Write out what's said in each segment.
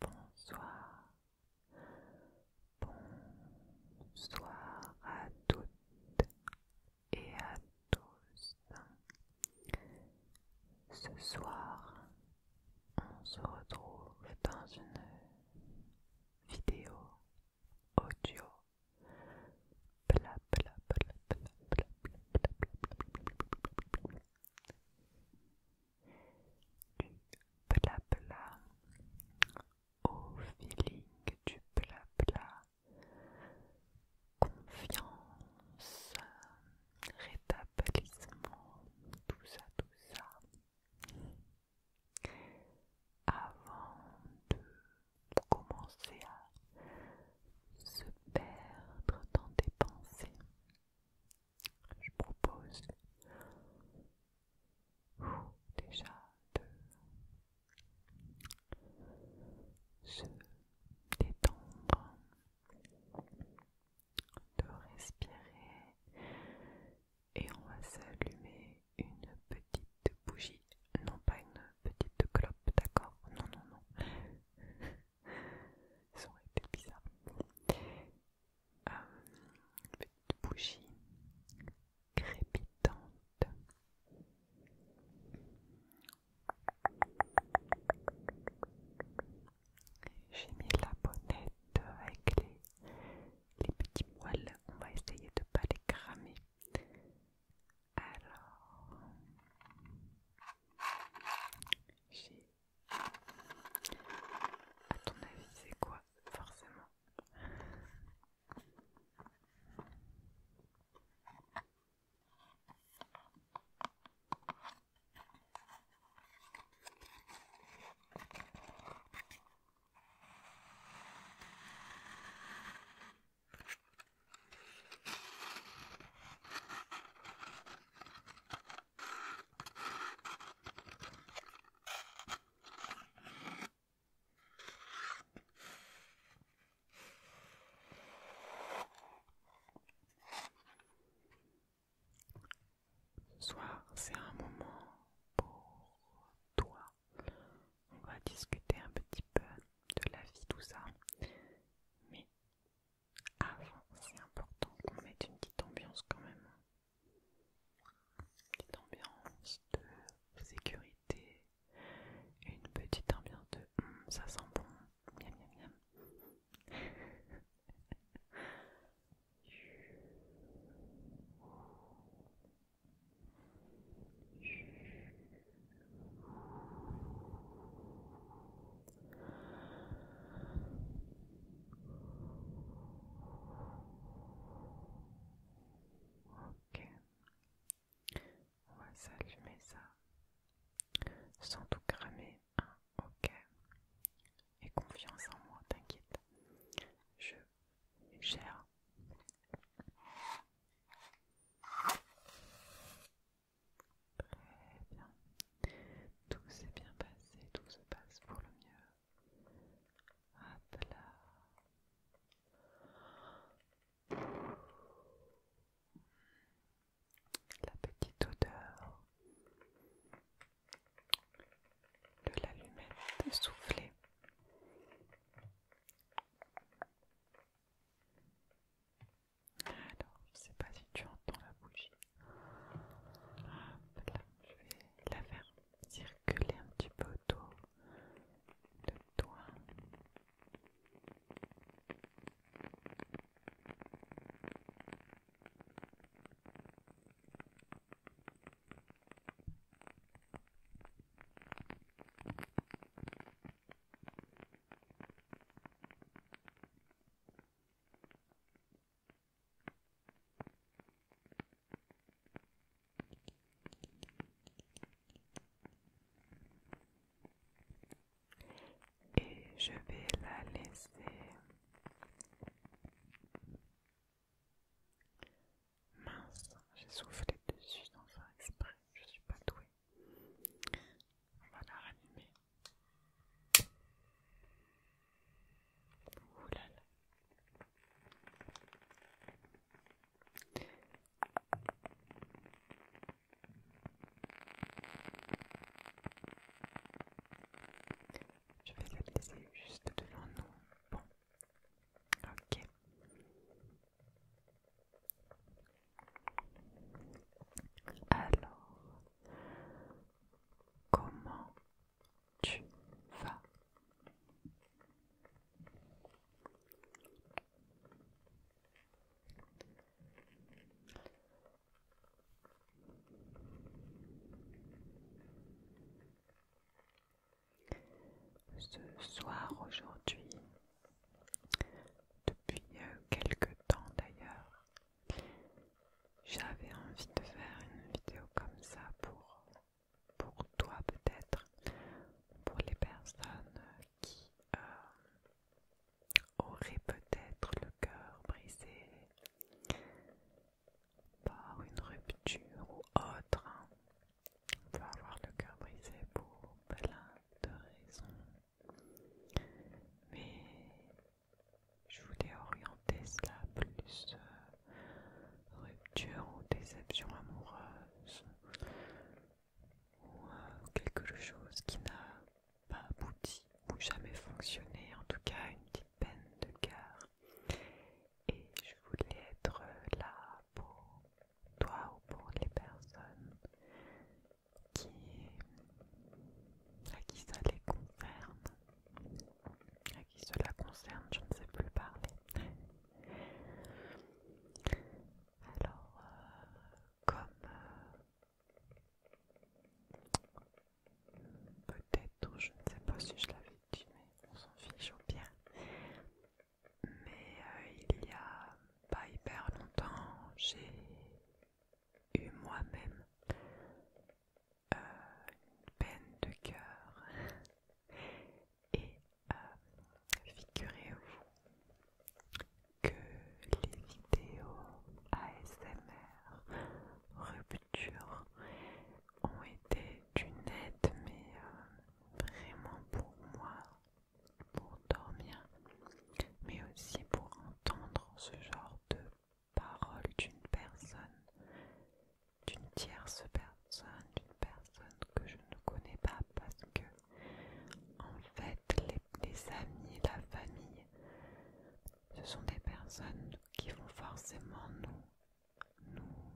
bonsoir, bonsoir à toutes et à tous. Ce soir, on se retrouve dans une vidéo audio. Du blabla au feeling du blabla. Confiance, rétablissement, tout ça, tout ça. Avant de commencer à se perdre dans tes pensées je propose déjà de se détendre, de respirer et on va s'allumer une petite bougie, non pas une petite clope, d'accord Non, non, non. Ça été bizarre. une euh, petite bougie crépitante. J'ai mis la bonnette avec les, les petits poils. On va essayer de ne pas les cramer. Alors, j'ai ton avis, c'est quoi forcément ce soir, c'est un moment pour toi. On va discuter un petit peu de la vie, tout ça. Mais avant, c'est important qu'on mette une petite ambiance quand même. Une petite ambiance de sécurité, une petite ambiance de hum, ça sent bon, miam miam miam. Ok, on va s'allumer ça sans tout cramer. Hein? Ok, et confiance en moi, t'inquiète, je gère. Très bien. Tout s'est bien passé, tout se passe pour le mieux. Hop là. La petite odeur de l'allumette soufflée. Alors, je sais pas si tu entends la bougie. je vais la faire circuler un petit peu autour de toi. Et je vais la laisser mince, j'ai soufflé dessus dans un exprès, je suis pas douée. On va la ranimer. Je vais le laisser juste devant nous. Bon. Ok. Alors, comment tu vas ce soir aujourd'hui, depuis euh, quelque temps d'ailleurs, j'avais envie de faire une vidéo comme ça pour, toi peut-être, pour les personnes qui euh, auraient peut-être le cœur brisé par une rupture ou autre. Hein. On peut avoir le cœur brisé pour plein de raisons. Mais je voulais orienter cela plus euh, rupture ou déception amoureuse ou euh, quelque chose qui n'a pas abouti ou jamais fonctionné, en tout cas une petite peine de cœur. Et je voulais être euh, là pour toi ou pour les personnes qui, à qui ça les concerne, à qui cela concerne, je ne sais plus parler. Alors, euh, comme euh, peut-être, je ne sais pas si je l'avais dit, mais on s'en fiche au bien Mais euh, il y a pas hyper longtemps, j'ai eu moi-même euh, une peine de cœur et euh, figurez-vous que les vidéos ASMR rupture ont été d'une aide mais euh, vraiment pour moi pour dormir mais aussi pour ce genre de paroles d'une personne, d'une tierce personne, d'une personne que je ne connais pas parce que en fait les, amis, la famille, ce sont des personnes qui vont forcément nous, nous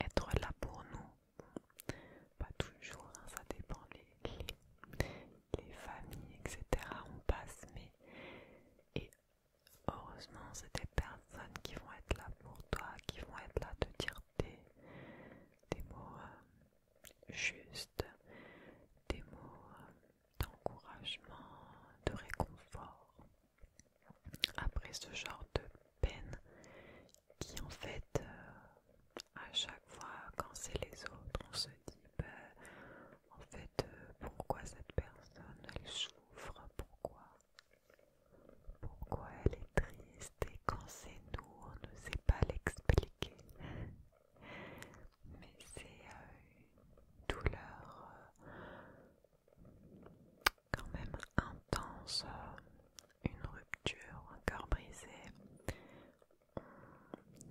être là pour nous. Pas toujours, hein, ça dépend les familles, etc. On passe, mais et heureusement, c'est des personnes qui vont être là pour toi, qui vont être là te dire des, mots euh, justes, des mots euh, d'encouragement, de réconfort. Après ce genre de peine qui en fait euh, à chaque fois quand c'est les autres, on se dit ben, en fait euh, pourquoi cette personne elle souffre, pourquoi, pourquoi elle est triste et quand c'est nous on ne sait pas l'expliquer. Mais c'est euh, une douleur euh, quand même intense, une rupture, un cœur brisé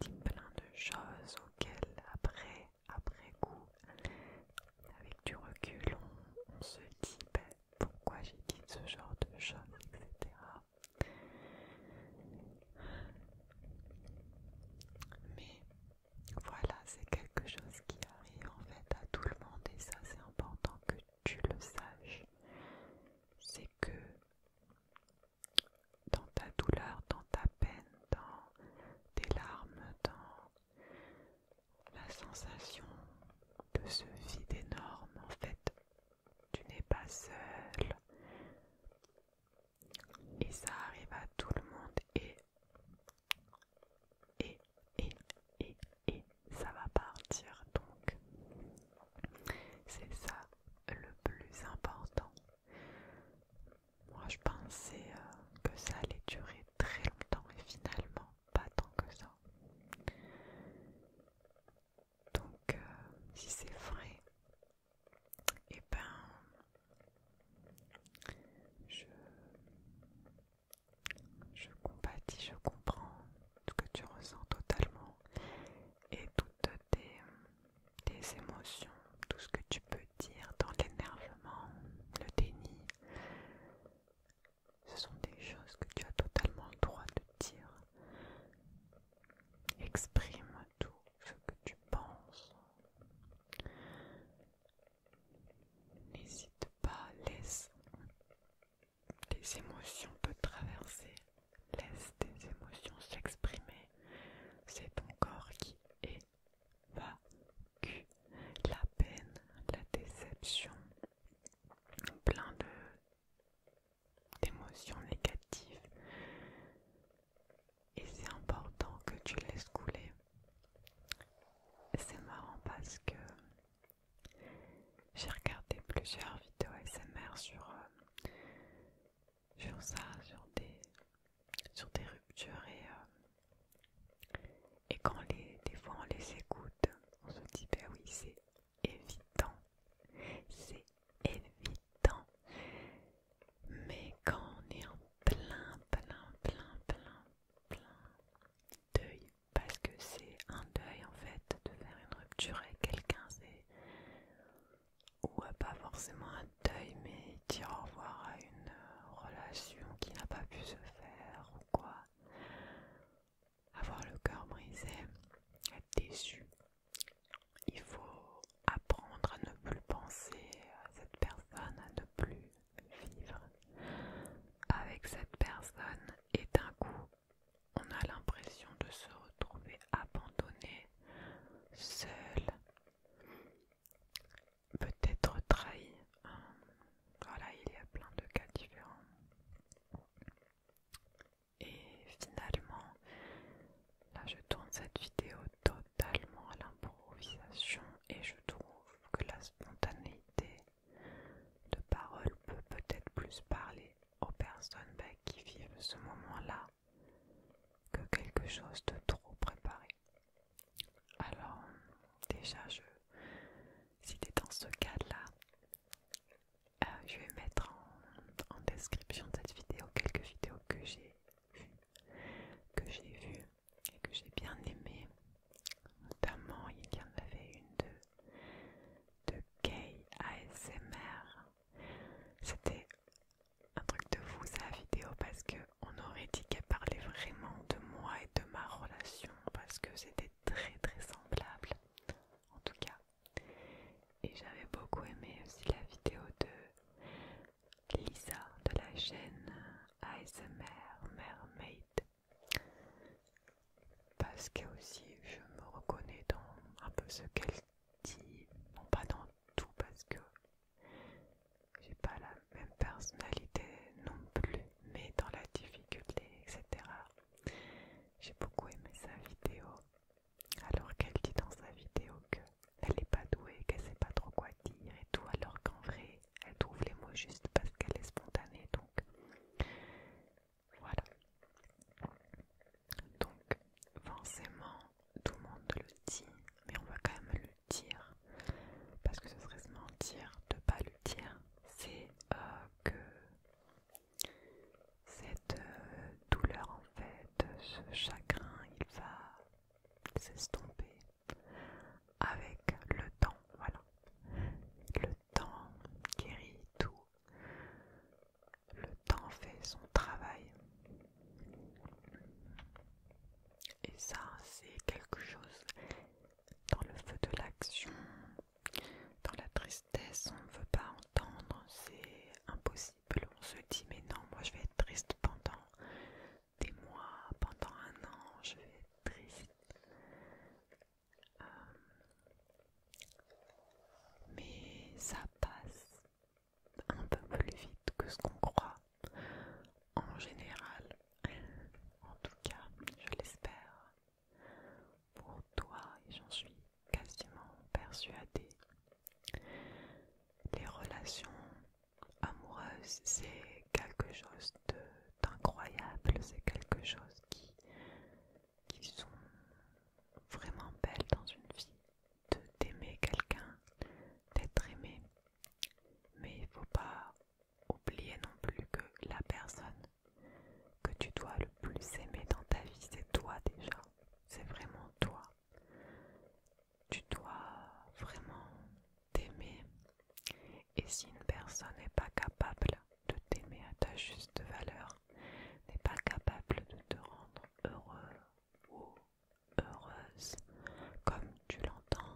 dit plein de choses auxquelles après, après coup, avec du recul, on, se dit ben, pourquoi j'ai dit ce genre de choses, etc. Mais voilà, c'est quelque chose qui arrive en fait à tout le monde et ça c'est important que tu le saches. C'est que dans ta douleur, dans ta peine, dans tes larmes, dans la sensation de ce vide énorme. En fait, tu n'es pas seul. Et ça arrive à tout le monde et et et et et ça va partir donc. C'est ça le plus important. Moi je pensais euh, que ça allait durer très longtemps et finalement pas tant que ça. Donc euh, si c'est vrai, et eh ben je, je compatis, je comprends ce que tu ressens totalement et toutes tes tes émotions, tout ce que tu peux dire dans l'énervement, le déni. Ce sont des choses que tu as totalement le droit de dire. Exprime tout ce que tu penses. N'hésite pas, laisse tes émotions te traverser. Laisse tes émotions s'exprimer. C'est ton corps qui évacue la peine, la déception, plein de d'émotions négatives. Et c'est important que tu laisses couler. C'est marrant parce que j'ai regardé plusieurs vidéos SMR sur euh, sur ça, sur des, sur ruptures et, euh, et quand les, des fois on les écoute, on se dit ben oui c'est évident, c'est évident, mais quand on est en plein, plein, plein, plein, plein deuil, parce que c'est un deuil en fait de faire une rupture avec quelqu'un, c'est ou euh, pas forcément un deuil, mais dire au revoir à une euh, relation qui n'a pas pu se faire ou quoi. Avoir le cœur brisé, être déçu. Il faut apprendre à ne plus penser à cette personne, à ne plus vivre avec cette personne et d'un coup on a l'impression de se retrouver abandonné, seul, peut-être trahi. Voilà, il y a plein de cas différents. Et finalement, là je tourne cette vidéo totalement à l'improvisation et je trouve que la spontanéité de parole peut peut-être plus parler aux personnes bah, qui vivent ce moment-là que quelque chose de trop préparé. Alors, déjà, je, si t'es dans ce cas-là, euh, je vais mettre en, description de cette vidéo quelques vidéos que j'ai vues, que j'ai vues et que j'ai bien aimées. Notamment, il y en avait une de, de ASMR c'était un truc de fou sa vidéo parce que on aurait dit qu'elle parlait vraiment de moi et de ma relation parce que c'était très très semblable en tout cas. Et j'avais beaucoup aimé aussi la vidéo de Lisa de la chaîne ASMR Mermaid parce que aussi je me reconnais dans un peu ce qu'elle dit, non pas dans tout parce que j'ai pas la même personnalité non plus, mais dans la difficulté, etc. J'ai beaucoup aimé sa vidéo, alors qu'elle dit dans sa vidéo que elle n'est pas douée, qu'elle sait pas trop quoi dire et tout, alors qu'en vrai, elle trouve les mots juste parce qu'elle est spontanée, donc voilà. Donc forcément tout le monde le dit, mais on va quand même le dire, parce que ce serait se mentir de pas le dire, c'est euh, que cette euh, douleur en fait, ce chagrin, il va s'estomper avec le temps, voilà. Le temps guérit tout. Le temps fait son travail. Et ça, c'est quelque chose dans le feu de l'action, dans la tristesse, on ne veut pas entendre, c'est impossible. On se dit, mais non, moi je vais être triste pendant des mois, pendant un an, je vais être triste. Euh, mais ça passe un peu plus vite que ce qu'on croit en général en tout cas je l'espère pour toi et j'en suis quasiment persuadée les relations amoureuses c'est quelque chose d'incroyable c'est quelque chose qui qui sont vraiment belles dans une vie t'aimer quelqu'un, d'être aimé. Mais il ne faut pas oublier non plus que la personne que tu dois le plus aimer dans ta vie, c'est toi déjà. C'est vraiment toi. Tu dois vraiment t'aimer. Et si une personne n'est pas capable de t'aimer à ta juste valeur, n'est pas capable de te rendre heureux ou heureuse comme tu l'entends.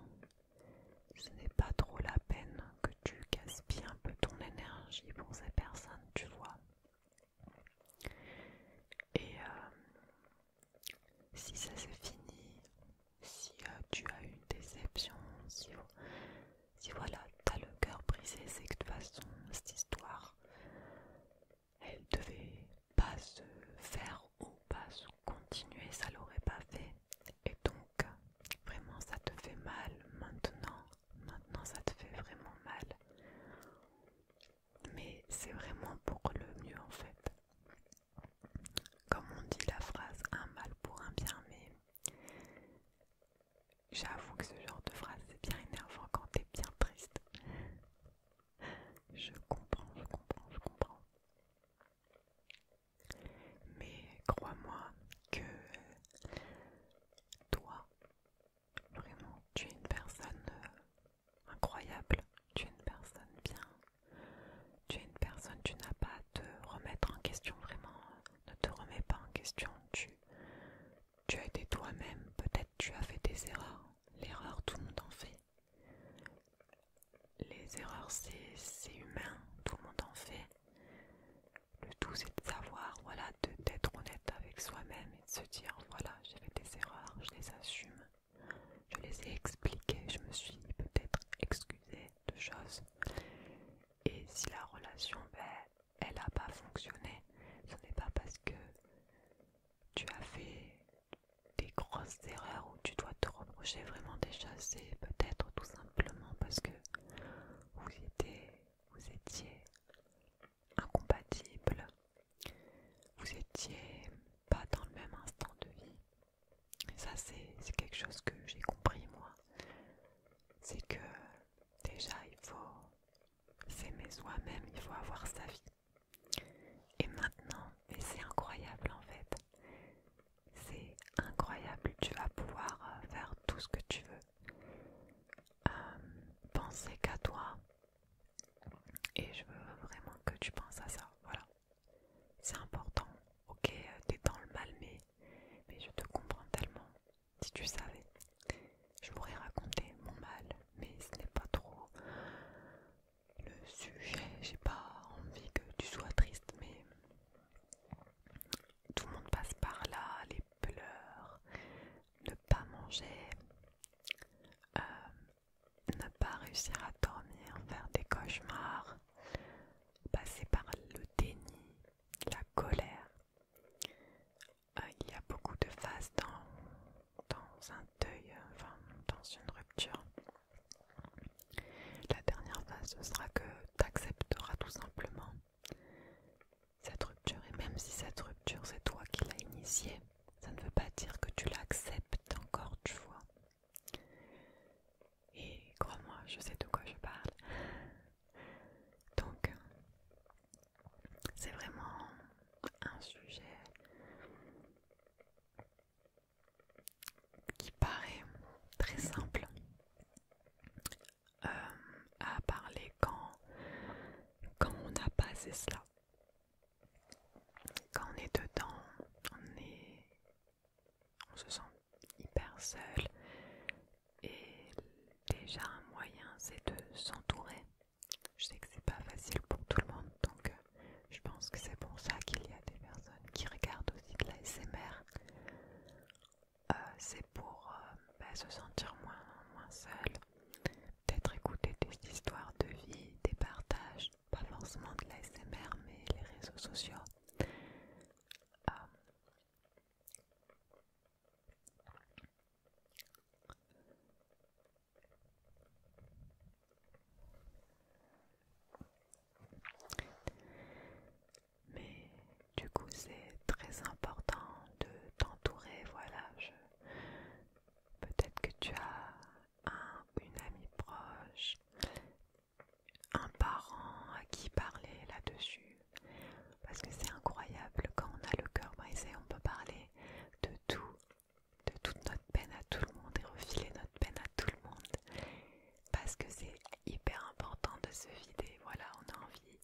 Ce n'est pas trop la peine que tu gaspilles un peu ton énergie pour ces personnes, tu vois. Et euh, si ça c'est fini, si euh, tu as une déception, si, si voilà, t'as le cœur brisé, c'est que de toute façon, cette histoire, elle devait pas se faire ou pas se continuer, ça l'aurait pas fait. Et donc, vraiment, ça te fait mal maintenant. Maintenant, ça te fait vraiment mal. Mais c'est vraiment pour le mieux en fait. Comme on dit la phrase un mal pour un bien, mais J'avoue que ce genre de phrase c'est bien énervant quand t'es bien triste. Je comprends, je comprends, je comprends. Mais crois-moi que toi, vraiment, tu es une personne euh, incroyable. Tu es une personne bien. Tu es une personne, tu n'as pas à te remettre en question vraiment. Ne te remets pas en question. Tu, tu as été toi-même, peut-être tu as fait des erreurs. L'erreur, tout le monde en fait. Les erreurs, c'est humain, tout le monde en fait. Le tout, c'est de savoir, voilà, d'être honnête avec soi-même et de se dire, voilà, j'ai fait des erreurs, je les assume. Je les ai expliquées, je me suis peut-être excusée de choses. Et si la relation, ben, elle n'a pas fonctionné, ce n'est pas parce que tu as fait des grosses erreurs ou tu dois te reprocher vraiment des c'est peut-être tout simplement parce que vous étiez, vous incompatible, vous étiez pas dans le même instant de vie. ça c'est quelque chose que j'ai compris moi. C'est que déjà il faut c'est mes soi-même, il faut avoir sa vie. Et maintenant, mais c'est incroyable en fait. C'est incroyable, tu vas pouvoir euh, faire tout ce que tu veux. Euh, penser qu'à toi. Et je veux vraiment que tu penses à ça. Voilà. C'est important. Ok, euh, t'es dans le mal, mais je te comprends tellement si tu savais. Je pourrais raconter mon mal, mais ce n'est pas trop le sujet. J'ai pas envie que tu sois triste, mais tout le monde passe par là, les pleurs, ne pas manger, euh, ne pas réussir à dormir, faire des cauchemars, passer par le déni, la colère. Euh, il y a beaucoup de phases dans, un deuil, euh, enfin, dans une rupture. La dernière phase, ce sera que tu accepteras tout simplement cette rupture. Et même si cette rupture, c'est toi qui l'as initiée, ça ne veut pas dire que tu l'acceptes encore, tu vois. Et crois-moi, je sais de quoi je parle. Donc, c'est vraiment un sujet qui paraît très simple euh, à parler quand, quand on a passé cela. Quand on est dedans, on, est, on se sent hyper seul et déjà un moyen c'est de s'entourer je sais que c'est pas facile pour tout le monde, donc euh, je pense que c'est pour ça qu'il y a des personnes qui regardent aussi de la SMR. Euh, c'est pour euh, bah, se sentir moins, moins seul, peut-être écouter des histoires de vie, des partages, pas forcément de la SMR, mais les réseaux sociaux. Mais du coup, c'est très important de t'entourer. Voilà, je... peut-être que tu as un une amie proche, un parent à qui parler là-dessus parce que c'est incroyable, quand on a le cœur brisé, on peut parler de tout, de toute notre peine à tout le monde et refiler notre peine à tout le monde, parce que c'est hyper important de se vider, voilà, on a envie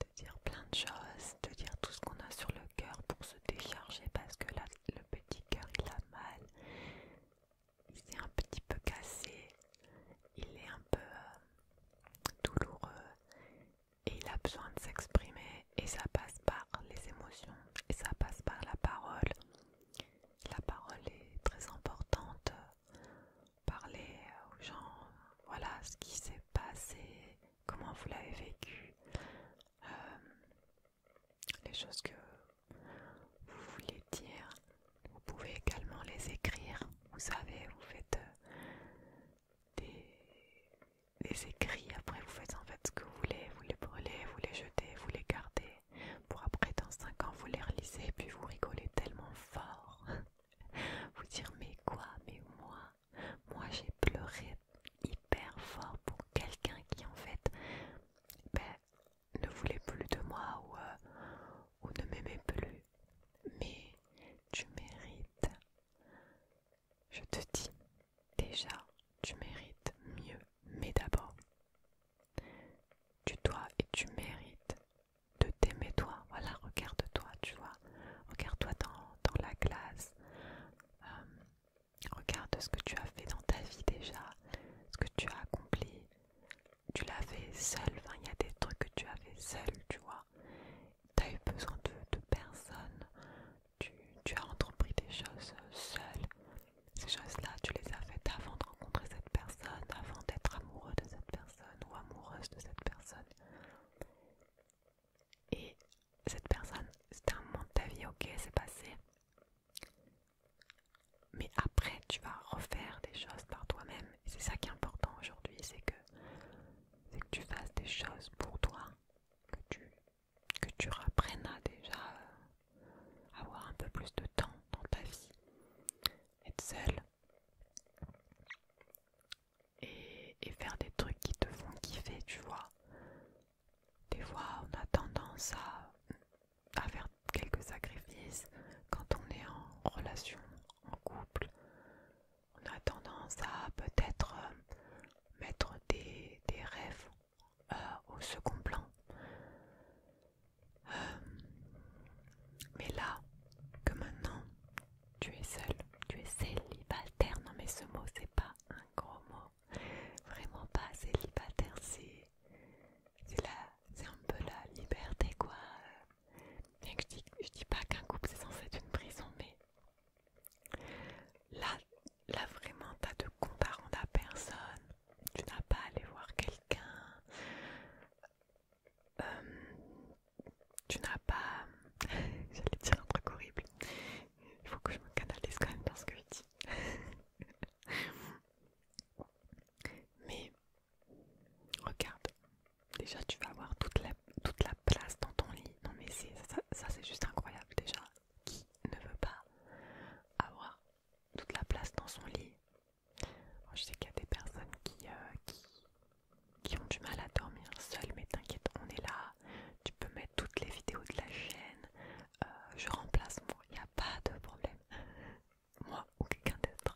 de dire plein de choses, de dire tout ce qu'on a sur le cœur pour se décharger, parce que là, le petit cœur, il a mal, il s'est un petit peu cassé, il est un peu euh, douloureux et il a besoin de s'exprimer et ça passe par les émotions et ça passe par la parole. La parole est très importante. Parler aux gens, voilà ce qui s'est passé, comment vous l'avez vécu, euh, les choses que vous voulez dire. Vous pouvez également les écrire. Vous savez, vous faites des, écrits. Après, vous faites en fait ce que vous voulez. Vous les brûlez, vous les jetez, vous les gardez. Pour après, dans 5 ans, vous les relisez, puis vous rigolez tellement fort. vous dire mais quoi, mais moi, moi j'ai pleuré hyper fort pour quelqu'un qui en fait ben, ne voulait plus de moi euh, ou ne m'aimait plus. Mais tu mérites je te dis, déjà, tu mérites mieux, mais d'abord, tu dois et tu mérites de t'aimer toi. Voilà, regarde-toi, tu vois. Regarde-toi dans, la glace. Euh, regarde ce que tu as fait dans ta vie déjà, ce que tu as accompli. Tu l'as fait seul, il y a des trucs que tu as fait seul, tu vois tu eu besoin de, personnes, personne, tu, as entrepris des choses seules Ces choses-là, tu les as faites avant de rencontrer cette personne, avant d'être amoureux de cette personne ou amoureuse de cette personne. Et cette personne, c'était un moment de ta vie, ok, c'est passé. Mais après, tu vas refaire des choses par toi-même. Et c'est ça qui est important aujourd'hui, c'est que, que tu fasses des choses pour toi que tu, que reprennes à déjà euh, avoir un peu plus de temps dans ta vie, être seule et, faire des trucs qui te font kiffer, tu vois. Des fois, on a tendance à faire quelques sacrifices quand on est en relation, en couple on a tendance à peut-être euh, mettre des, rêves euh, au second plan. Euh, mais là, que maintenant tu es seul, tu es célibataire, non mais ce mot c'est pas un gros mot, vraiment pas célibataire, c'est c'est un peu la liberté quoi. je dis, je dis pas qu'un couple c'est censé être une prison, mais Là, là vraiment, t'as de comparant à personne. Tu n'as pas allé aller voir quelqu'un. Euh, tu n'as pas... J'allais dire un truc horrible. Il faut que je me canalise quand même dans ce que je dis. Mais regarde, déjà tu vas avoir toute la, toute la place dans ton lit. Non mais ça, ça, c'est juste incroyable déjà. Qui ne veut pas avoir toute la place dans son lit Je sais qu'il y a des personnes euh, qui, ont du mal à dormir seules, mais t'inquiète, on est là. Tu peux mettre toutes les vidéos de la chaîne. Euh, je remplace moi, il n'y a pas de problème. moi ou quelqu'un d'autre.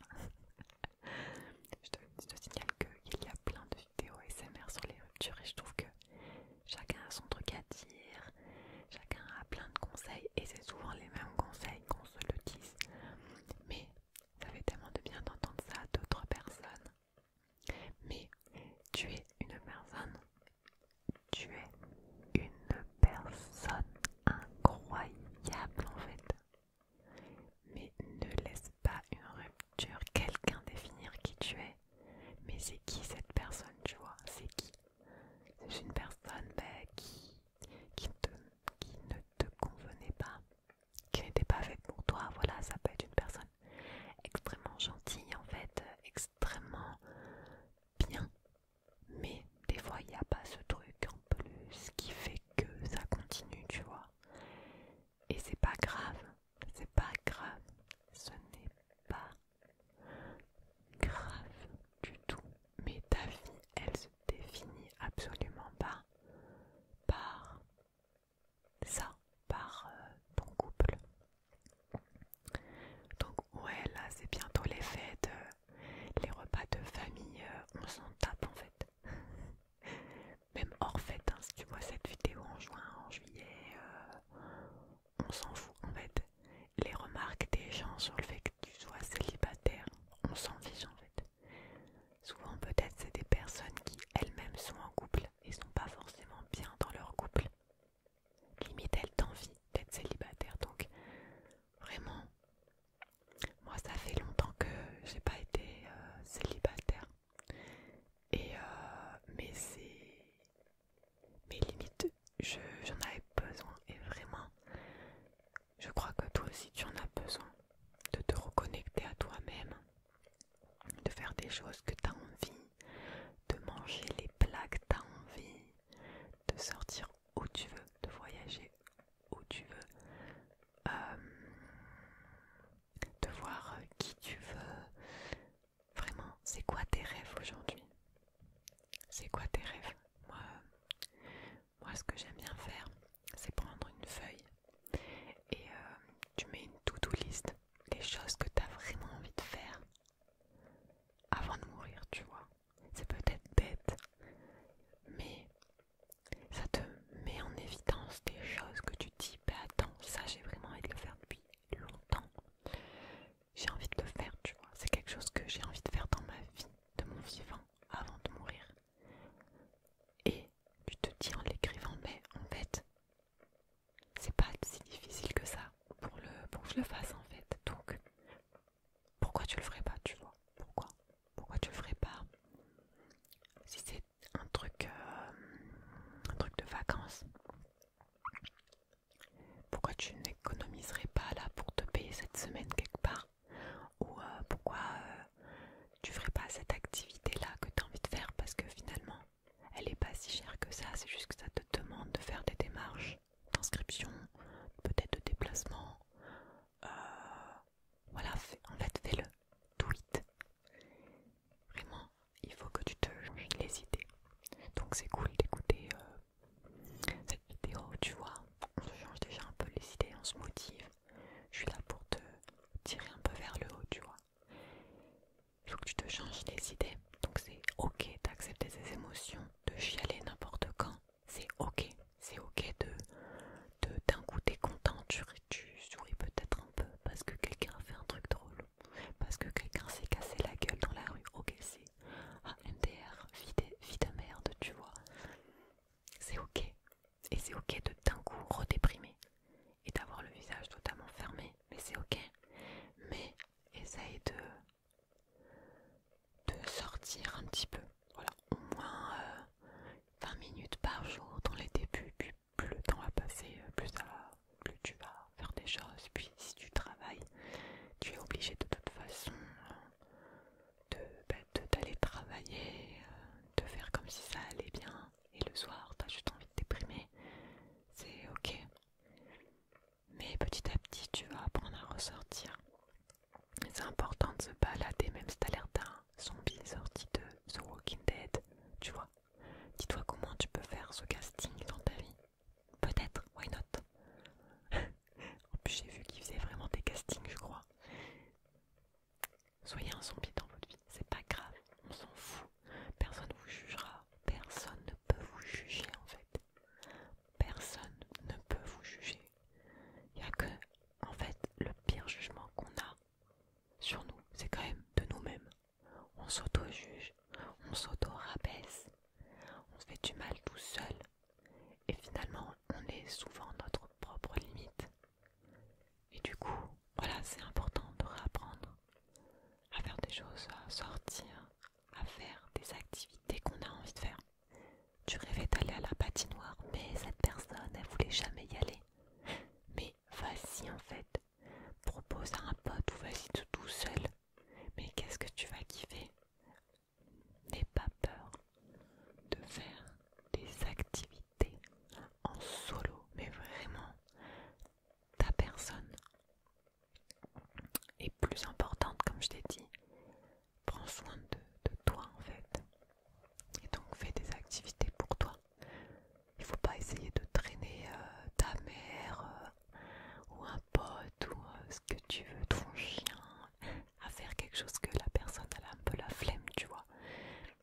je, te signale qu'il y a plein de vidéos des SMR sur les ruptures et je trouve que chacun a son truc à dire, chacun a plein de conseils et c'est souvent les mêmes conseils qu'on se le dise. Mais ça fait tellement de bien d'entendre ça à d'autres personnes. Mais tu es une personne, tu es une personne incroyable en fait. Mais ne laisse pas une rupture quelqu'un définir qui tu es. Mais c'est qui cette personne, tu vois C'est qui C'est une personne ben, qui, qui, qui ne te convenait pas, qui n'était pas faite pour toi. Voilà, ça peut être une personne extrêmement gentille, en fait, extrêmement bien. Mais des fois, il n'y a pas ce truc en plus qui fait que ça continue, tu vois. Et c'est pas grave, c'est pas grave. Ce n'est pas grave du tout. Mais ta vie, elle se définit absolument pas par ça, par euh, ton couple. Donc ouais, là c'est bientôt les fêtes, euh, les repas de famille, euh, on s'en tape en fait. Même hors fait, hein, si tu vois cette vidéo en juin, en juillet, euh, on s'en fout en fait. Les remarques des gens sur le fait que tu sois célibataire, on s'en fiche en fait. Souvent peut-être c'est des personnes qui elles-mêmes sont en couple et sont pas forcément bien dans leur couple. Limite elles envie d'être célibataire. Donc vraiment, moi ça fait longtemps que j'ai pas été euh, célibataire. Et euh, mais c'est. j'en avais besoin et vraiment, je crois que toi aussi tu en as besoin de te reconnecter à toi-même, de faire des choses que t'as envie, de manger les plats que t'as envie, de sortir où tu veux, de voyager où tu veux. Euh, de voir euh, qui tu veux. Vraiment, c'est quoi tes rêves aujourd'hui C'est quoi tes rêves moi, moi, ce que j'aime bien faire, c'est prendre une feuille et euh, tu mets une to-do list, les choses que tu as vraiment envie de faire avant de mourir, tu vois. C'est peut-être bête, mais ça te mets en évidence des choses que tu dis, bah attends, ça j'ai vraiment envie de le faire depuis longtemps. J'ai envie de le faire, tu vois. C'est quelque chose que j'ai envie de faire dans ma vie, de mon vivant, avant de mourir. Et tu te dis en l'écrivant, mais en fait, c'est pas si difficile que ça pour, le, pour que je le fasse en fait. Donc, pourquoi tu le ferais pas, tu vois Pourquoi Pourquoi tu le ferais pas Si c'est un truc euh, un truc de vacances pourquoi tu n'économiserais pas là pour te payer cette semaine quelque part ou euh, pourquoi euh, tu ferais pas cette activité là que tu as envie de faire parce que finalement elle est pas si chère que ça c'est juste que ça te demande de faire des démarches d'inscription peut-être de déplacement voilà en fait fais-le tweet. Vraiment, il faut que tu te changes les idées. Donc c'est cool d'écouter euh, cette vidéo, tu vois. On se change déjà un peu les idées, on se motive. Je suis là pour te tirer un peu vers le haut, tu vois. Il faut que tu te changes les idées. Donc c'est ok d'accepter ces émotions, de chialer n'importe quand. C'est ok. C'est ok de d'un goûter coup t'es content, tu, tu souris peut-être parce que quelqu'un fait un truc drôle, parce que quelqu'un s'est cassé la gueule dans la rue. Ok, c'est MDR, vie, de merde, tu vois. C'est ok. Et c'est ok de d'un coup redéprimer et d'avoir le visage totalement fermé. Mais c'est ok. Mais essaye de, de sortir un petit peu. Voilà, au moins 20 euh, minutes par jour dans les débuts, plus le temps va passer, euh, plus, ça, plus tu vas faire des choses. Puis si tu travailles, tu es obligé de toute façon euh, bah, d'aller travailler, euh, de faire comme si ça allait bien. Et le soir, tu as juste envie de déprimer. C'est ok. Mais petit à petit, tu vas apprendre à ressortir. C'est important de se balader, même si as l'air d'un zombie sorti de The Walking Dead, tu vois. Dis-toi comment tu peux faire ce casting dans ta vie. Peut-être, why not En plus, j'ai vu qu'ils faisait vraiment des castings, je crois. Soyez un zombie dans votre vie, c'est pas grave, on s'en fout. Personne ne vous jugera, personne ne peut vous juger en fait. Personne ne peut vous juger. Il n'y a que, en fait, le pire jugement qu'on a, sur nous, c'est quand même de nous-mêmes. On s'auto-juge, on s'auto-rabaisse, on se fait du mal tout seul. Et finalement, on est souvent notre propre limite. Et du coup, voilà, c'est important de réapprendre à faire des choses, à sortir, à faire des activités qu'on a envie de faire. Tu rêvais d'aller à la patinoire, mais cette personne, elle voulait jamais y aller. Mais vas-y en fait, Propose à un pote ou vas-y tout seul. Mais qu'est-ce que tu vas kiffer N'aie pas peur de faire des activités en solo, mais vraiment ta personne. est plus importante, comme je t'ai dit, prends soin de toi en fait. Et donc fais des activités pour toi. Il faut pas essayer de traîner euh, ta mère euh, ou un pote ou euh, ce que tu veux, ton chien, à faire quelque chose que la personne a un peu la flemme, tu vois.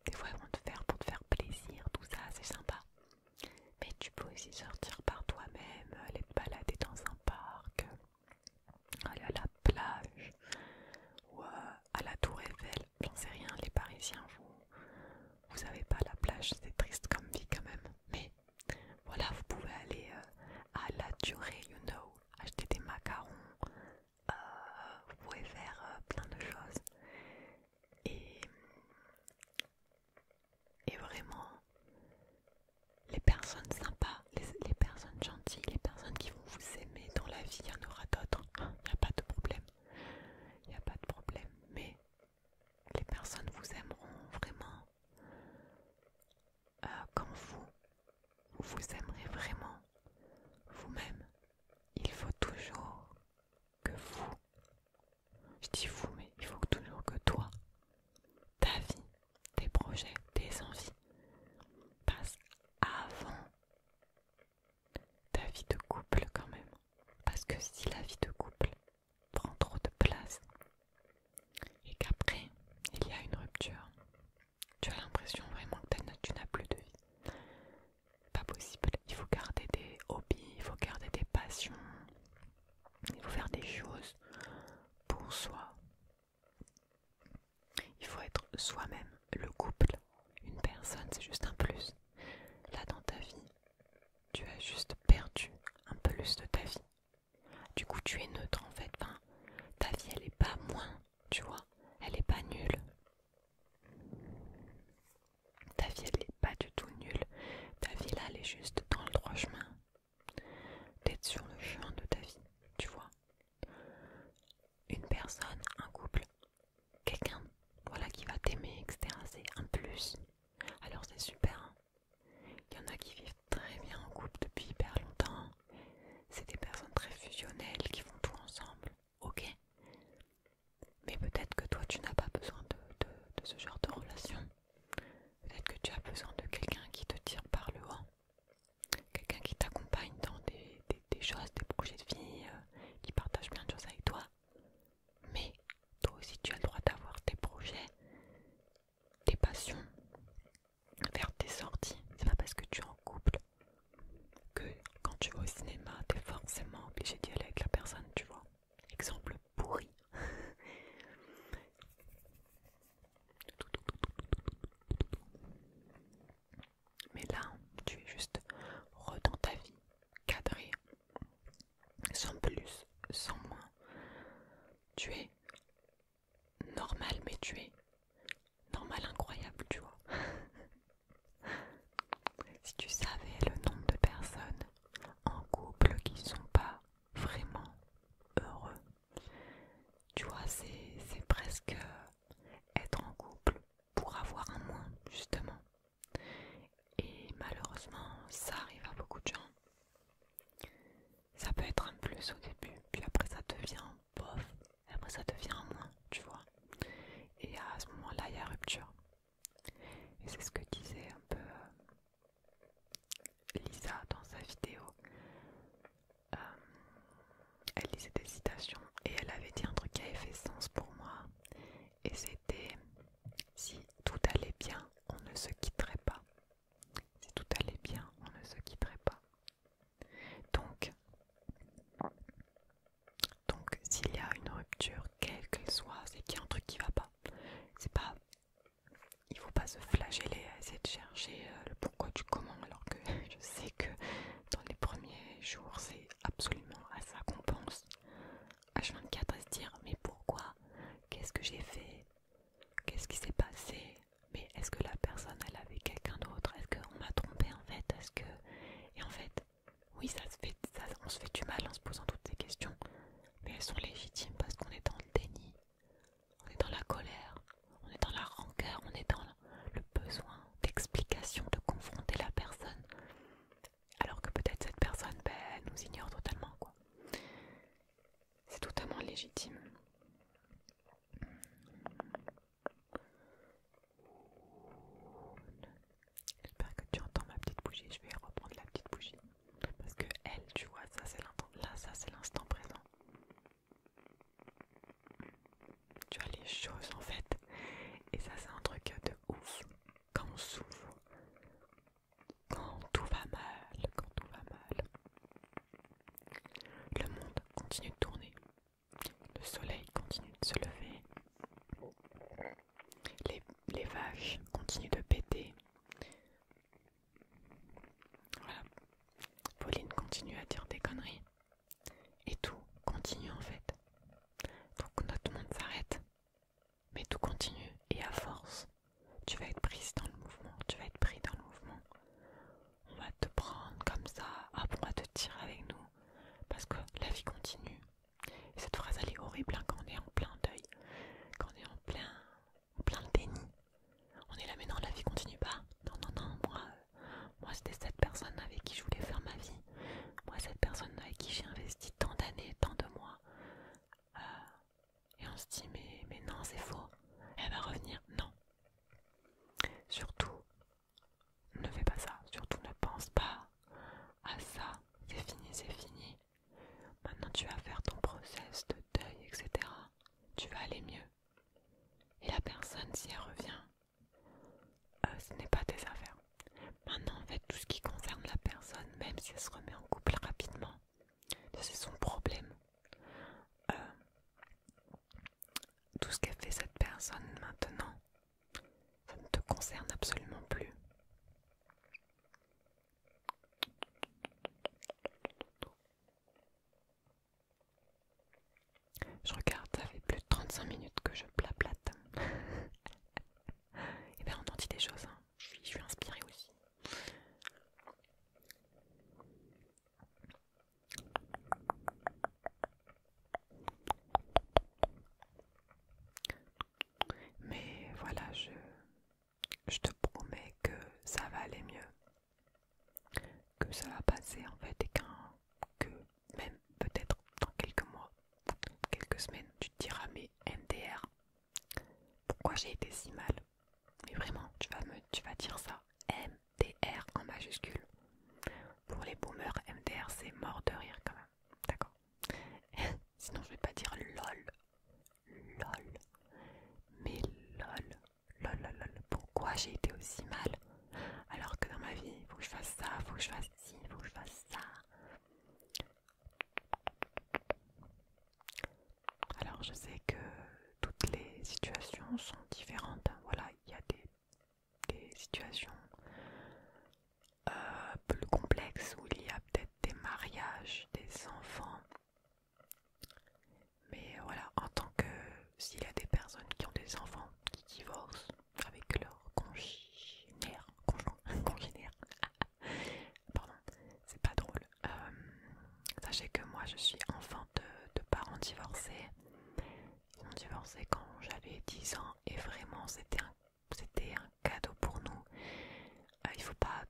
Des fois, ils vont te faire pour te faire plaisir, tout ça, c'est sympa. Mais tu peux aussi sortir par toi-même, aller te balader dans un parc, aller à la plage ou à la Tour Eiffel, j'en sais rien, les Parisiens, vous, vous avez pas la plage, c'est triste comme vie quand même. Mais voilà, vous pouvez aller euh, à la durée, you know, acheter des macarons, euh, vous pouvez faire euh, plein de choses. Et, vraiment, les personnes sympas, les, les personnes gentilles, les personnes qui vont vous aimer dans la vie, il y en aura d'autres, il n'y a pas de problème il n'y a pas de problème. Mais les personnes vous aimeront vraiment euh, quand vous, vous aimerez vraiment vous-même. Il faut toujours que vous, je dis vous, mais il faut toujours que toi, ta vie, tes projets, tes envies passent avant ta vie de couple quand même. Parce que si la vie de couple prend trop de place et qu'après il y a une rupture, tu as l'impression vraiment que tu n'as plus de vie. Pas possible. Il faut garder des hobbies, il faut garder des passions, il faut faire des choses pour soi. Il faut être soi-même. Le couple, une personne, c'est juste un plus. Là, dans ta vie, tu as juste perdu un plus de ta vie. Du coup, tu es neutre en fait. ta vie, elle est pas moins, tu vois. Elle est pas nulle. Ta vie, elle est pas du tout nulle. Ta vie, là, elle est juste dans le droit chemin. D'être sur le chemin de ta vie, tu vois. Une personne, un couple, quelqu'un voilà, qui va t'aimer, etc. C'est un plus. Alors c'est super. Hein. Il y en a qui vivent très bien en couple depuis hyper longtemps. C'est des personnes très fusionnelles qui font tout ensemble. Ok. Mais peut-être que toi tu n'as pas besoin de, ce genre de relation. Peut-être que tu as besoin de quelqu'un qui te tire par le haut. Quelqu'un qui t'accompagne dans des, choses, des projets de vie, euh, qui partage plein de choses avec toi, mais toi aussi tu as le droit d'avoir tes projets, tes passions, faire tes sorties. C'est pas parce que tu es en couple que quand tu vas au cinéma, t'es forcément obligé d'y aller avec la personne, tu vois. Exemple pourri. Mais là, tu es juste redans ta vie, cadré, sans plus, sans moins. Tu es normal, mais tu es normal incroyable, tu vois. si tu savais le nombre de personnes en couple qui ne sont pas vraiment heureux, tu vois, c'est presque être en couple pour avoir un moins, justement. Et malheureusement, ça arrive à beaucoup de gens. Ça peut être un plus au début, puis après ça devient bof, après ça devient un moins, tu vois. Et à ce moment-là, il y a rupture. Et c'est ce que disait un peu euh, Lisa dans sa vidéo. Euh, elle lisait des citations et elle avait dit un truc qui avait fait sens pour moi et c'était si tout allait bien, on ne se quitterait pas. Si tout allait bien, on ne se quitterait pas. Donc, s'il y a une rupture, quelle qu'elle soit, c'est qu'il y a un truc qui va pas. C'est pas, il faut pas se flageller à essayer de chercher euh, le pourquoi du comment, alors que je sais que dans les premiers jours, c'est absolument à ça qu'on pense H24 à se dire mais pourquoi Qu'est-ce que j'ai fait Qu'est-ce qui s'est passé Mais est-ce que la personne elle avait quelqu'un d'autre Est-ce qu'on m'a trompé en fait Est-ce que et en fait oui ça se fait ça, on se fait du mal en se posant toutes ces questions mais elles sont légitimes parce qu'on est dans le déni on est dans la colère on est dans la rancœur on est dans le besoin d'explication de confronter la personne alors que peut-être cette personne, ben, nous ignore totalement, quoi. C'est totalement légitime. J'espère que tu entends ma petite bougie. Je vais reprendre la petite bougie. Parce que elle, tu vois, ça c'est l'instant présent tu as les choses en fait. Et ça, c'est un truc de ouf. Quand on souffre, quand tout va mal, quand tout va mal, le monde continue de tourner. Le soleil continue de se lever. Les, les vaches continuent de péter. Voilà. Pauline continue à dire des conneries. Et tout continue en fait. Donc notre monde s'arrête. Mais tout continue et à force, tu vas être prise dans le mouvement, tu vas être pris dans le mouvement. On va te prendre comme ça, à on va te tirer avec nous, parce que la vie continue. cette phrase elle est horrible hein, quand on est en plein deuil, quand on est en plein, en plein déni. On est là mais non la vie continue pas. Non non non moi, euh, moi c'était cette personne avec qui je voulais faire ma vie. Moi, cette personne avec qui j'ai investi tant d'années, tant de mois. Euh, et on se dit, mais, mais non, c'est faux. Elle va revenir. Non. Surtout, ne fais pas ça. Surtout, ne pense pas à ça. C'est fini, c'est fini. Maintenant, tu vas faire ton process de deuil, etc. Tu vas aller mieux. Et la personne, si elle revient, euh, ce n'est pas tes affaires. Maintenant, en fait, tout ce qui concerne la personne, même si elle se remet en couple rapidement, c'est son problème. Euh, tout ce qu'a fait cette personne maintenant, ça ne te concerne absolument plus. Je regarde, ça fait 35 minutes que je plaplate Et bien on en dit des choses, hein. je, suis, inspirée aussi. Mais voilà, je, je te promets que ça va aller mieux, que ça va passer en fait et qu'un même peut-être dans quelques mois, quelques semaines, tu te diras mais MDR, pourquoi j'ai été si mal Mais vraiment, tu vas, me, tu vas dire ça, MDR en majuscule. Pour les boomers, MDR c'est mort de rire quand même, d'accord Sinon je vais pas dire lol, lol, mais lol, lol, lol, lol. pourquoi j'ai été aussi mal alors que dans ma vie, il faut que je fasse ça, il faut que je fasse si, vous fasse ça. Alors je sais que toutes les situations sont différentes. Voilà, il y a des, situations euh, plus complexes où il y a peut-être des mariages, des enfants. Mais voilà, en tant que s'il y a des personnes qui ont des enfants qui divorcent, avec leur congénère Pardon, c'est pas drôle. Euh, sachez que moi je suis enfant de, parents divorcés. Ils ont divorcé quand j'avais 10 ans et vraiment c'était un, un cadeau pour nous. Euh, il faut pas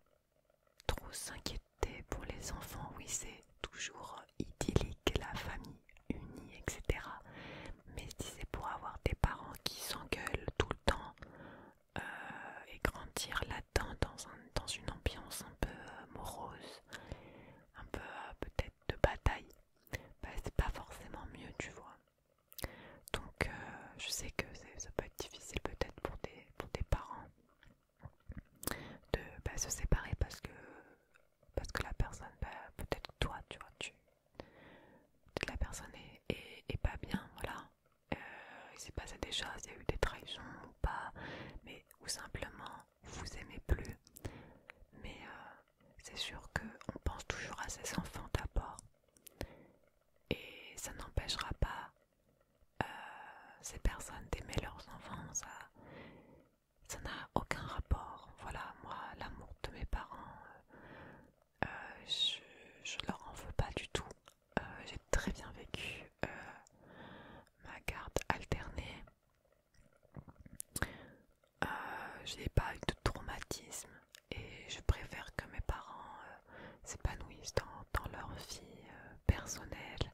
trop s'inquiéter pour les enfants. Oui, c'est toujours idyllique la famille unis, etc. Mais si c'est pour avoir des parents qui s'engueulent tout le temps euh, et grandir là-dedans dans, une ambiance un peu euh, morose, un peu euh, peut-être de bataille, bah, c'est pas forcément mieux, tu vois. Donc, je sais que ça peut être difficile peut-être pour des, parents de bah, se séparer parce que parce que la personne, bah, peut-être toi, tu vois, tu, la personne est, pas bien, voilà. Euh, il s'est passé des choses, il y a eu des trahisons ou pas, mais ou simplement vous aimez plus. Mais euh, c'est sûr qu'on pense toujours à ses enfants d'abord, et ça n'empêchera pas euh, ces personnes d'aimer leurs enfants. Ça, ça n'a aucun rapport. Voilà, moi, l'amour de mes parents, euh, euh, je, leur en veux pas du tout. Euh, j'ai très bien vécu ma garde alternée. j'ai je n'ai pas eu de traumatisme et je préfère que mes parents s'épanouissent dans, leur vie personnelle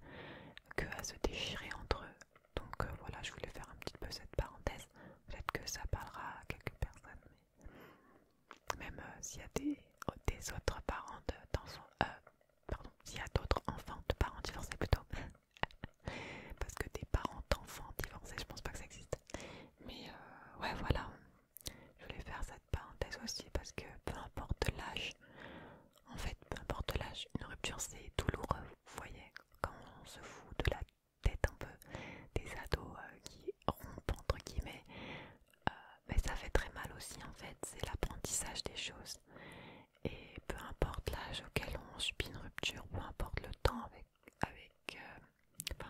que à se déchirer entre eux. Donc voilà, je voulais faire un petit peu cette parenthèse. Peut-être que ça parlera à quelques personnes, même euh, s'il y a des, oh, autres parents dans son, euh, pardon, d'autres enfants de parents divorcés plutôt, parce que des parents d'enfants divorcés, je pense pas que ça existe. Mais euh, ouais, voilà, je voulais faire cette parenthèse aussi parce que peu importe l'âge, en fait, peu importe l'âge, une rupture c'est douloureux, vous voyez, quand on se fout de la peut un peu des ados euh, qui rompent entre guillemets, euh, mais ça fait très mal aussi en fait, c'est l'apprentissage des choses. Et peu importe l'âge auquel on subit une rupture, peu importe le temps avec, avec euh,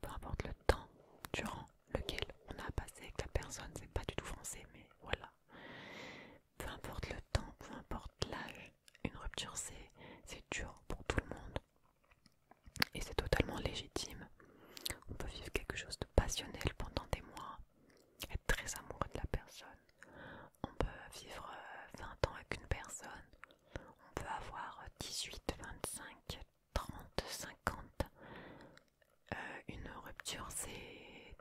peu importe le temps durant lequel on a passé avec la personne, c'est pas du tout français, mais voilà. Peu importe le temps, peu importe l'âge, une rupture, c'est dur pour tout le monde. Et c'est totalement légitime. On peut vivre quelque chose de passionnel pendant des mois, être très amoureux de la personne. On peut vivre 20 euh, ans avec une personne. On peut avoir 18, 25, 30, 50. cinquante. Euh, une rupture, c'est...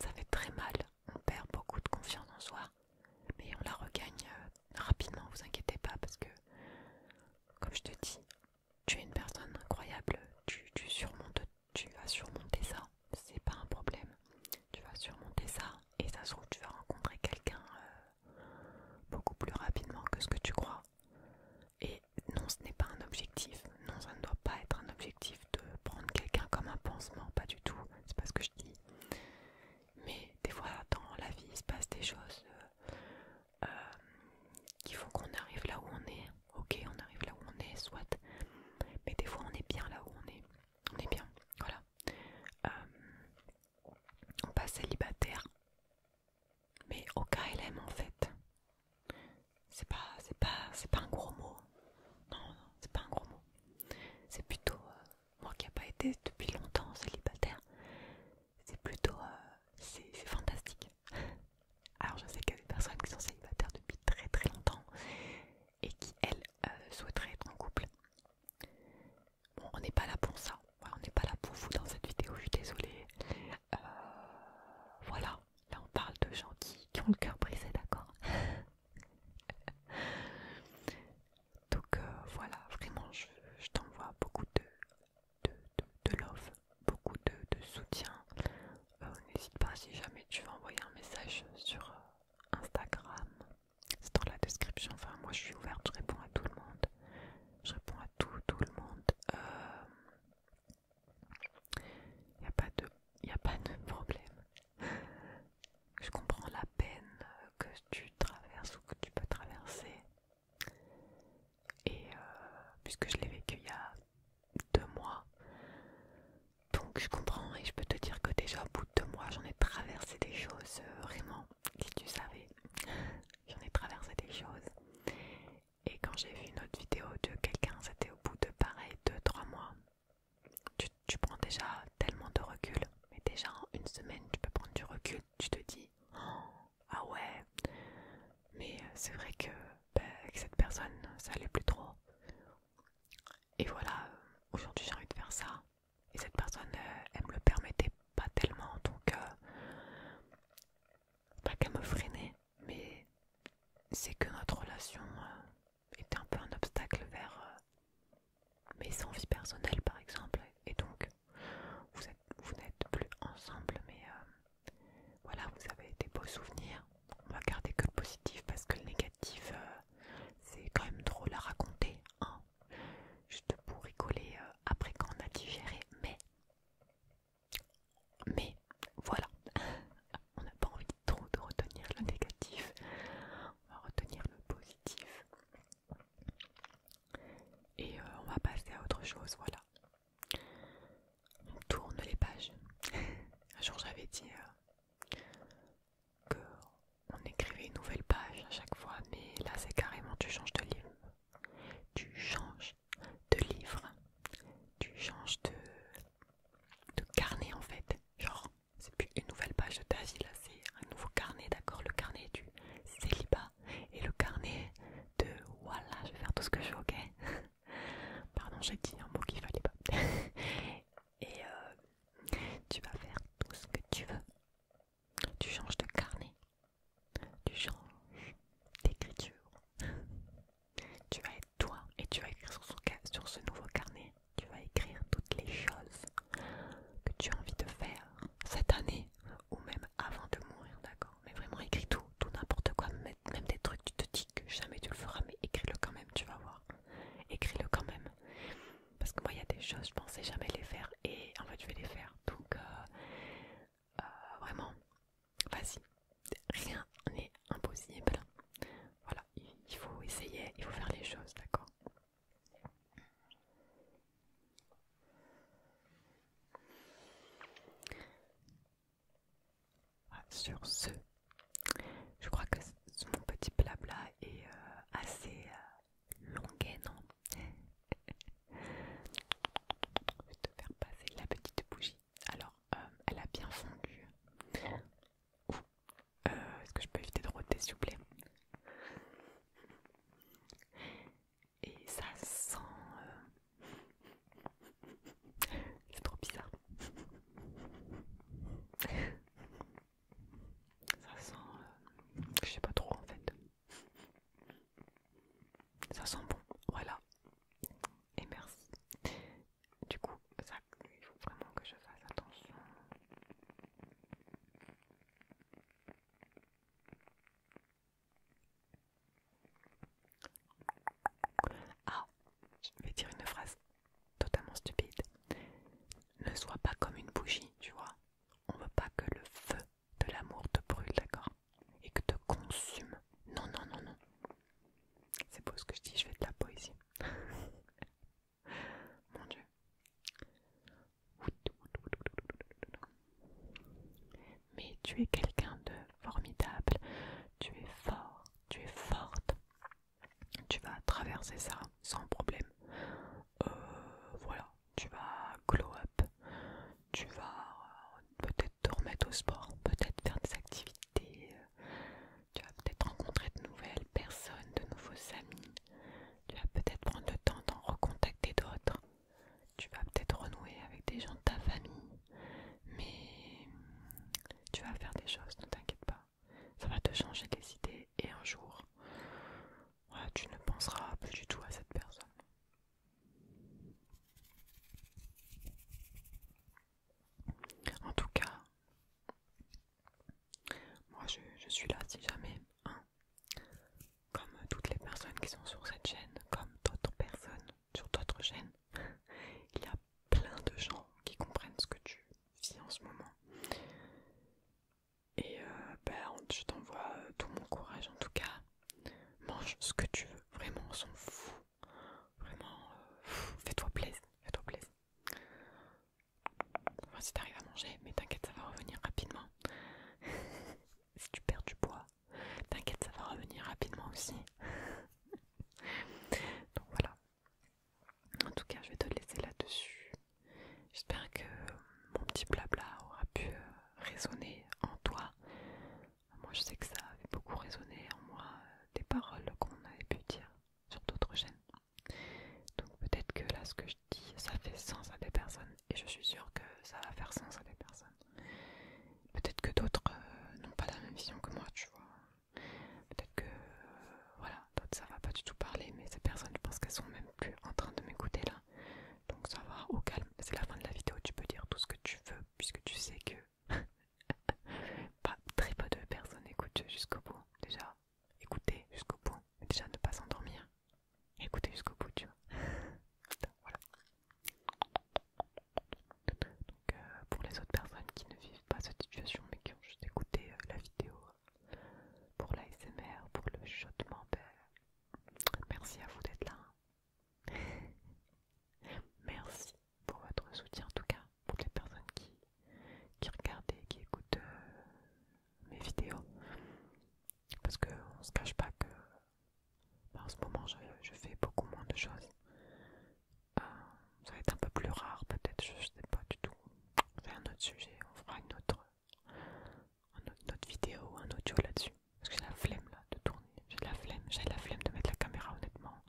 ça fait très mal. On perd beaucoup de confiance en soi. Mais on la regagne euh, rapidement, vous inquiétez pas, parce que, comme je te dis, tu es une personne incroyable, tu, surmontes, tu vas surmonter ça, c'est pas un problème. Tu vas surmonter ça, et ça se trouve, tu vas rencontrer quelqu'un euh, beaucoup plus rapidement que ce que tu crois. Et non, ce n'est pas un objectif, non, ça ne doit pas être un objectif de prendre quelqu'un comme un pansement, pas du tout, c'est pas ce que je dis mais des fois dans la vie il se passe des choses euh, euh, qui font qu'on arrive là où on est. Ok, on arrive là où on est, soit. Mais des fois on est bien là où on est. On est bien, voilà. Euh, on passe célibataire. Mais au KLM en fait. C'est pas, c'est pas, c'est pas un gros mot. Non, non, c'est pas un gros mot. C'est plutôt, moi qui n'ai pas été depuis longtemps célibataire, c'est plutôt euh, c'est fantastique. Alors je sais qu'il y a des personnes qui sont célibataires depuis très très longtemps et qui elles euh, souhaiteraient être en couple. Bon, on n'est pas là pour ça, on n'est pas là pour vous dans cette vidéo, je suis désolée. Euh, voilà, là on parle de gens qui ont le cœur brisé, d'accord Donc euh, voilà, vraiment, je, t'envoie beaucoup de, de, love, beaucoup de, soutien. Euh, n'hésite pas si jamais tu veux envoyer un message sur euh, Instagram, c'est dans la description. Enfin, moi je suis ouverte, je réponds à tout le monde. Je réponds à tout, tout le monde. Il n'y a pas de problème je comprends la peine que tu traverses ou que tu peux traverser. Et euh, puisque je l'ai vécu il y a deux mois, donc je comprends et je peux te dire que déjà au bout de deux mois, j'en ai traversé des choses, euh, vraiment, si tu savais, j'en ai traversé des choses. Et quand j'ai vu une autre vidéo de quelqu'un, c'était au bout de pareil, deux, trois mois. tu prends déjà tellement de recul mais déjà une semaine, tu peux prendre du recul, tu te dis oh, Ah ouais, mais euh, c'est vrai que bah, avec cette personne, ça allait plus trop. Et voilà, euh, aujourd'hui j'ai envie de faire ça. Et cette personne, euh, elle me le permettait pas tellement, donc pas qu'elle me freinait, mais c'est que notre relation était un peu un obstacle vers mais sans vie personnelle par exemple et donc vous n'êtes plus ensemble mais euh, voilà vous avez des beaux souvenirs on va garder que le positif parce que le négatif euh, c'est quand même drôle à raconter hein juste pour rigoler euh, après après qu'on a digéré mais mais voilà on n'a pas envie trop de retenir le négatif on va retenir le positif et euh, on va passer à autre chose, voilà. On tourne les pages. Un jour j'avais dit euh, on écrivait une nouvelle page à chaque fois, mais là c'est carrément tu changes de livre. Tu changes de livre. Tu changes de, de carnet en fait. Genre, c'est plus une nouvelle page de ta vie, là c'est un nouveau carnet, d'accord Le carnet du célibat et le carnet de voilà, je vais faire tout ce que je veux, ok Pardon, j'ai dit un mot qu'il fallait pas. et euh, tu vas faire tout ce que tu veux. Tu changes de carnet, tu changes d'écriture. tu vas être toi et tu vas écrire sur ce nouveau carnet. Tu vas écrire toutes les choses que tu as envie de faire cette année ou même avant de mourir, d'accord Mais vraiment, écris tout, tout n'importe quoi, même des trucs, tu te dis que jamais tu le feras, mais écris-le quand même, tu vas voir. Écris-le quand même. Parce que moi, il y a des choses, je pensais jamais les faire et en fait, je vais les faire. Donc, euh, euh, vraiment, vas-y, rien n'est impossible. Voilà, il faut essayer, il faut faire les choses, d'accord ah, sur ce, je crois que mon petit blabla est euh, assez euh, longuet, non je vais te faire passer la petite bougie. Alors, euh, elle a bien fondu. Est-ce que je peux éviter de roter s'il vous plaît et ça sent... Euh, c'est trop bizarre. Ça sent... Euh, je sais pas trop en fait. Ça sent bon, voilà. Et merci. Du coup, ça, il faut vraiment que je fasse attention. Ah, je vais dire une phrase totalement stupide. Ne sois pas comme une bougie, tu vois. On veut pas que le feu de l'amour te brûle, d'accord Et que te consume. Non, non, non, non. C'est beau ce que je dis, je fais de la poésie. Mon Dieu. Mais tu es quelqu'un de formidable, tu es fort, tu es forte, tu vas traverser ça sans problème. Euh, voilà, tu vas glow up, tu vas euh, peut-être te remettre au sport, peut-être faire des activités, tu vas peut-être rencontrer de nouvelles personnes, de nouveaux amis, tu vas peut-être prendre le temps d'en recontacter d'autres. Tu vas peut-être renouer avec des gens de ta famille. Mais tu vas faire des choses, ne t'inquiète pas. Ça va te changer les idées et un jour, tu ne penseras plus du tout à cette personne. En tout cas, moi je, suis là si jamais, hein. comme toutes les personnes qui sont sur cette chaîne, comme d'autres personnes sur d'autres chaînes, il y a plein de gens qui comprennent ce que tu vis en ce moment. Et euh, ben, je t'envoie euh, tout mon courage en tout cas. Mange ce que tu veux, vraiment on s'en fout. Vraiment, euh, fais-toi plaisir, fais-toi plaisir voir si t'arrives à manger, mais t'inquiète, ça va revenir rapidement. si tu perds du poids, t'inquiète, ça va revenir rapidement aussi. Donc voilà. En tout cas, je vais te laisser là-dessus. J'espère que mon petit blabla aura pu euh, résonner en toi. Moi, je sais que ça avait beaucoup résonné en moi, euh, des paroles qu'on avait pu dire sur d'autres chaînes. Donc peut-être que là, ce que je dis, ça fait sens à des personnes. Et je suis sûre que ça va faire sens à des personnes. Peut-être que d'autres euh, n'ont pas la même vision que moi, tu vois. Peut-être que, euh, voilà, d'autres ça va pas du tout parler. Mais ces personnes, je pense qu'elles sont même plus en train de m'écouter là. Donc ça va au calme. C'est la fin de la vidéo, tu peux dire tout ce que tu veux, puisque tu sais que... pas très peu de personnes écoutent jusqu'au bout déjà écouter jusqu'au bout déjà ne pas s'endormir Écoutez jusqu'au bout, tu vois. voilà. Donc, euh, pour les autres personnes qui ne vivent pas cette situation mais qui ont juste écouté euh, la vidéo euh, pour l'ASMR, pour le chuchotement, ben, merci à vous d'être là. Hein. merci pour votre soutien en tout cas, pour les personnes qui, qui regardent et qui écoutent mes vidéos. Parce qu'on se cache pas que bah, en ce moment je, fais beaucoup moins de choses. Euh, ça va être un peu plus rare peut-être, je, sais pas du tout. C'est un autre sujet, on fera une autre, autre, vidéo, un audio là-dessus. Parce que j'ai la flemme là de tourner, j'ai la flemme, j'ai la flemme de mettre la caméra honnêtement.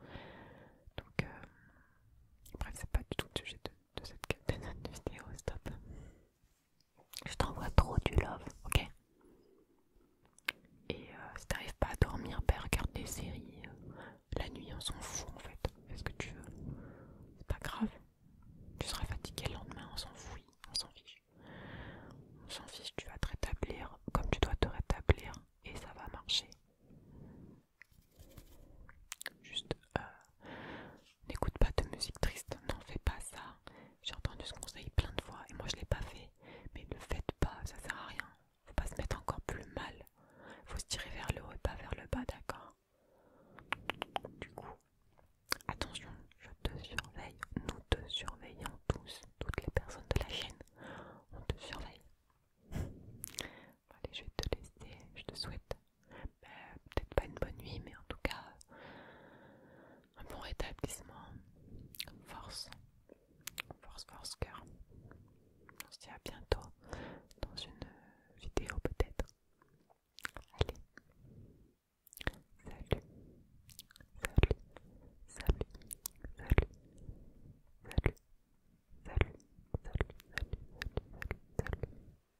Donc euh, bref, c'est pas du tout le sujet de, de cette vidéo, stop. Je t'envoie trop du love, ok Et euh, si t'arrives pas à dormir, bah, regarde des séries. Euh, la nuit, on s'en fout en fait. Fais ce que tu veux. C'est pas grave. Tu seras fatigué le lendemain, on s'en fout, on s'en fiche. On s'en fiche, tu vas te rétablir comme tu dois te rétablir et ça va marcher. Juste, euh, n'écoute pas de musique triste, n'en fais pas ça. J'ai entendu ce conseil plein de fois et moi je l'ai pas fait. Mais ne faites pas, ça sert à rien. Faut pas se mettre encore plus mal. Faut se tirer vers le haut et pas vers le bas, d'accord Du coup, attention, je te surveille, nous te surveillons tous, toutes les personnes de la chaîne. On te surveille. Allez, je vais te laisser, je te souhaite peut-être pas une bonne nuit, mais en tout cas un bon rétablissement. Force, force, force, cœur. On se dit à bientôt dans une vidéo peut-être. Allez, salut, salut, salut, salut, salut, salut, salut, salut, salut, salut. salut.